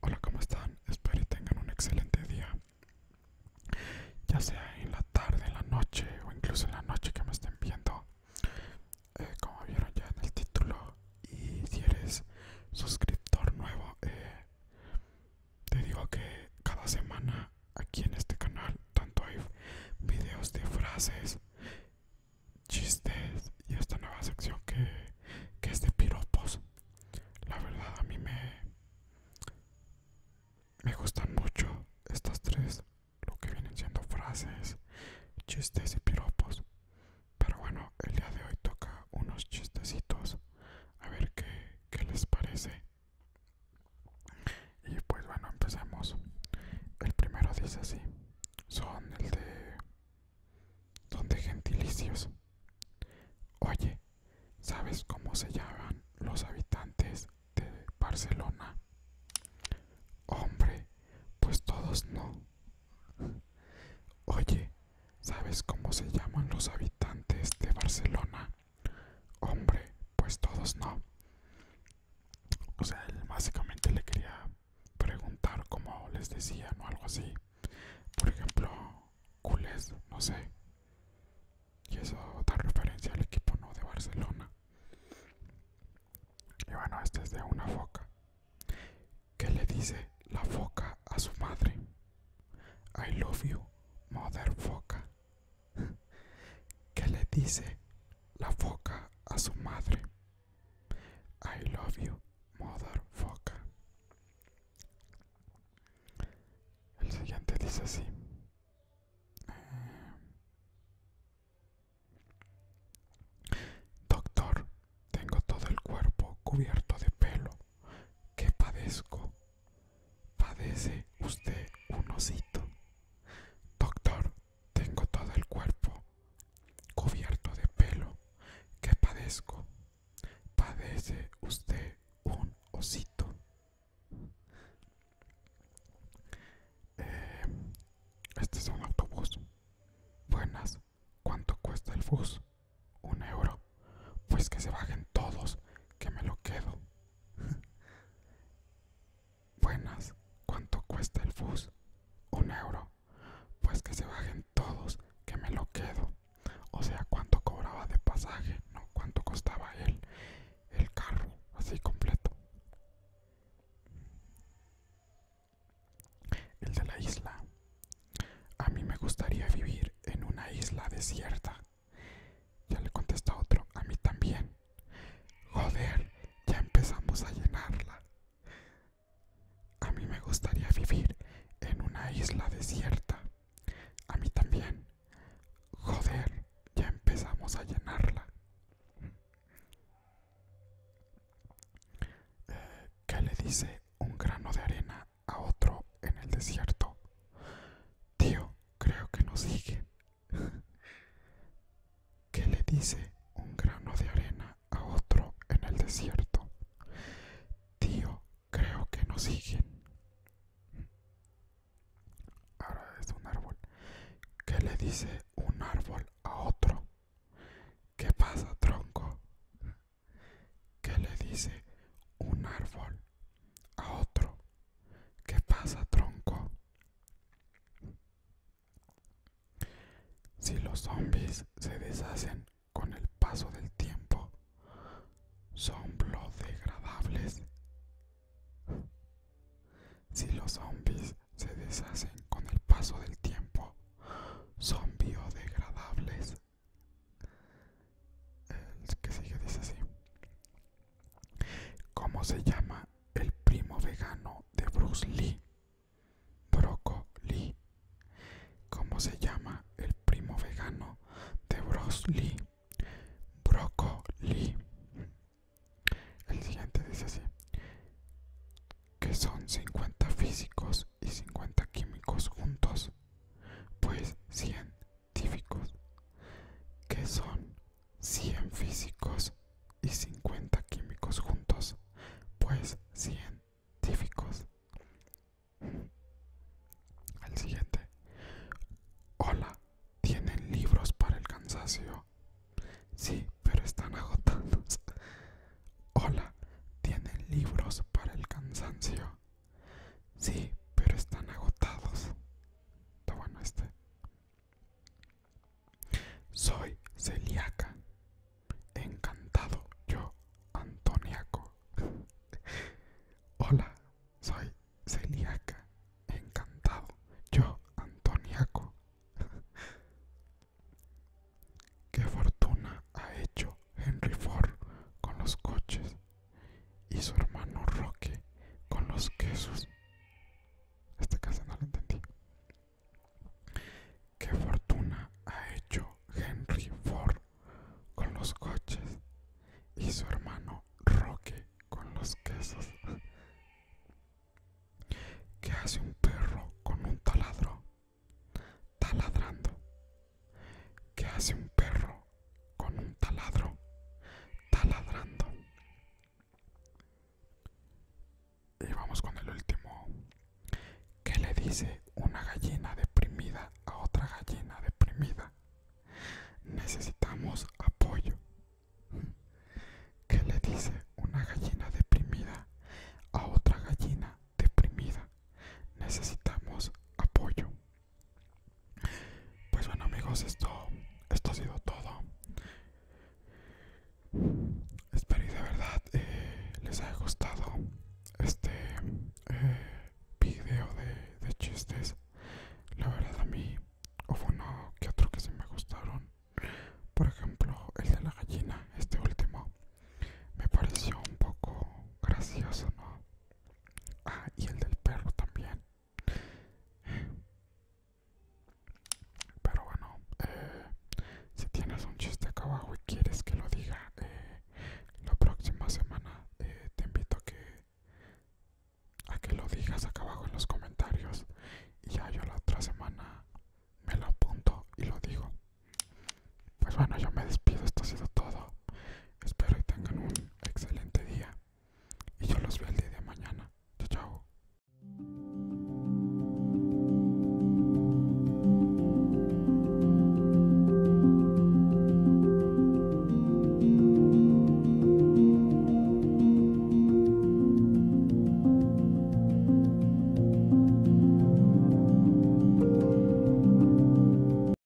Hola, ¿cómo están? Espero que tengan un excelente día. Ya sea en la tarde, en la noche o incluso en la noche que me estén viendo. Eh, como vieron ya en el título. Y si eres suscriptor nuevo, eh, te digo que cada semana aquí en este canal tanto hay videos de frases, chistes y esta nueva sección que, es de piropos. La verdad a mí me, me gustan mucho estas tres, lo que vienen siendo frases, chistes y piropos. Pero bueno, el día de hoy toca unos chistecitos. A ver qué, qué les parece. Y pues bueno, empezamos El primero dice así. Son el de... Son de gentilicios. Oye, ¿sabes cómo se llaman los habitantes de Barcelona? Hombre, pues todos no. Oye, ¿sabes cómo se llaman los habitantes de Barcelona? Hombre, pues todos no. O sea, él básicamente le quería preguntar como les decían o algo así. Por ejemplo, culés, no sé. Y eso da referencia al equipo no de Barcelona. Y bueno, este es de una foca. ¿Qué le dice la foca a su madre? I love you, mother foca. ¿Qué le dice la foca a su madre. I love you, mother foca. El siguiente dice así. Eh, doctor, tengo todo el cuerpo cubierto de pelo. ¿Qué padezco? Padece usted un osito. Doctor, tengo todo el cuerpo cubierto de pelo. ¿Qué padezco? Padece usted un osito. Eh, este es un autobús. Buenas. ¿Cuánto cuesta el bus? Un euro. Pues que se bajen todos, que me lo quedo. Buenas, ¿cuánto cuesta el bus? Un euro. Pues que se bajen todos, que me lo quedo. O sea, ¿cuánto cobraba de pasaje? No, ¿cuánto costaba él? El carro, así completo. El de la isla. A mí me gustaría vivir en una isla desierta ya le contesta otro, a mí también. Joder, ya empezamos a llenarla. A mí me gustaría vivir en una isla desierta. A mí también. Joder, ya empezamos a llenarla. Eh, ¿Qué le dice un grano de arena a otro en el desierto? Tío, creo que nos sigue. ¿Qué le dice un grano de arena a otro en el desierto? Tío, creo que nos siguen. Ahora es un árbol. ¿Qué le dice un árbol a otro? ¿Qué pasa, tronco? ¿Qué le dice un árbol a otro. ¿Qué pasa, tronco? Si los zombies se deshacen con el paso del tiempo, son biodegradables. Si los zombies se deshacen con el paso del tiempo, son biodegradables. El que sigue dice así. ¿Cómo se llama el primo vegano de Bruce Lee? Brocoli ¿Cómo se llama el primo vegano de Bruce Lee? Brocoli El siguiente dice así. Que son 50 físicos y 50 químicos juntos. Pues 100 ¿Qué que son 100 físicos y 50 químicos juntos, pues 100 científicos. El siguiente. Hola, ¿tienen libros para el cansancio? Sí, pero están agotados. Hola, ¿tienen libros para el cansancio? Sí, pero están agotados. Está bueno este. Soy celíaca. Encantado yo, Antoniaco. Hola, soy celíaca. Encantado yo, Antoniaco. ¿Qué fortuna ha hecho Henry Ford con los coches? y su hermano Roque con los quesos. Este caso no lo entendí. ¿Qué fortuna ha hecho Henry Ford con los coches y su hermano Roque con los quesos? ¿Qué hace un perro con un taladro? Taladrando. ¿Qué hace un perro con un taladro taladrando? Y vamos con el último. ¿Qué le dice una gallina deprimida a otra gallina deprimida? Necesitamos apoyo. ¿Qué le dice una gallina deprimida a otra gallina deprimida? Necesitamos apoyo. Pues bueno amigos, esto, esto ha sido todo. Espero que de verdad eh, les haya gustado este eh, video de, de chistes. La verdad a mí hubo uno que otro que sí me gustaron. Por ejemplo, el de la gallina, este último, me pareció un poco gracioso, ¿no? Ah, y el del perro también. Pero bueno, eh, si tienes un chiste acá abajo y quieres que lo diga eh, la próxima semana, eh, te invito a que, a que lo digas acá abajo en los comentarios. Y ya yo la otra semana me lo apunto y lo digo. Pues bueno, yo me despido, esto ha sido todo. Espero que tengan un excelente día y yo los veo el día de mañana. chao.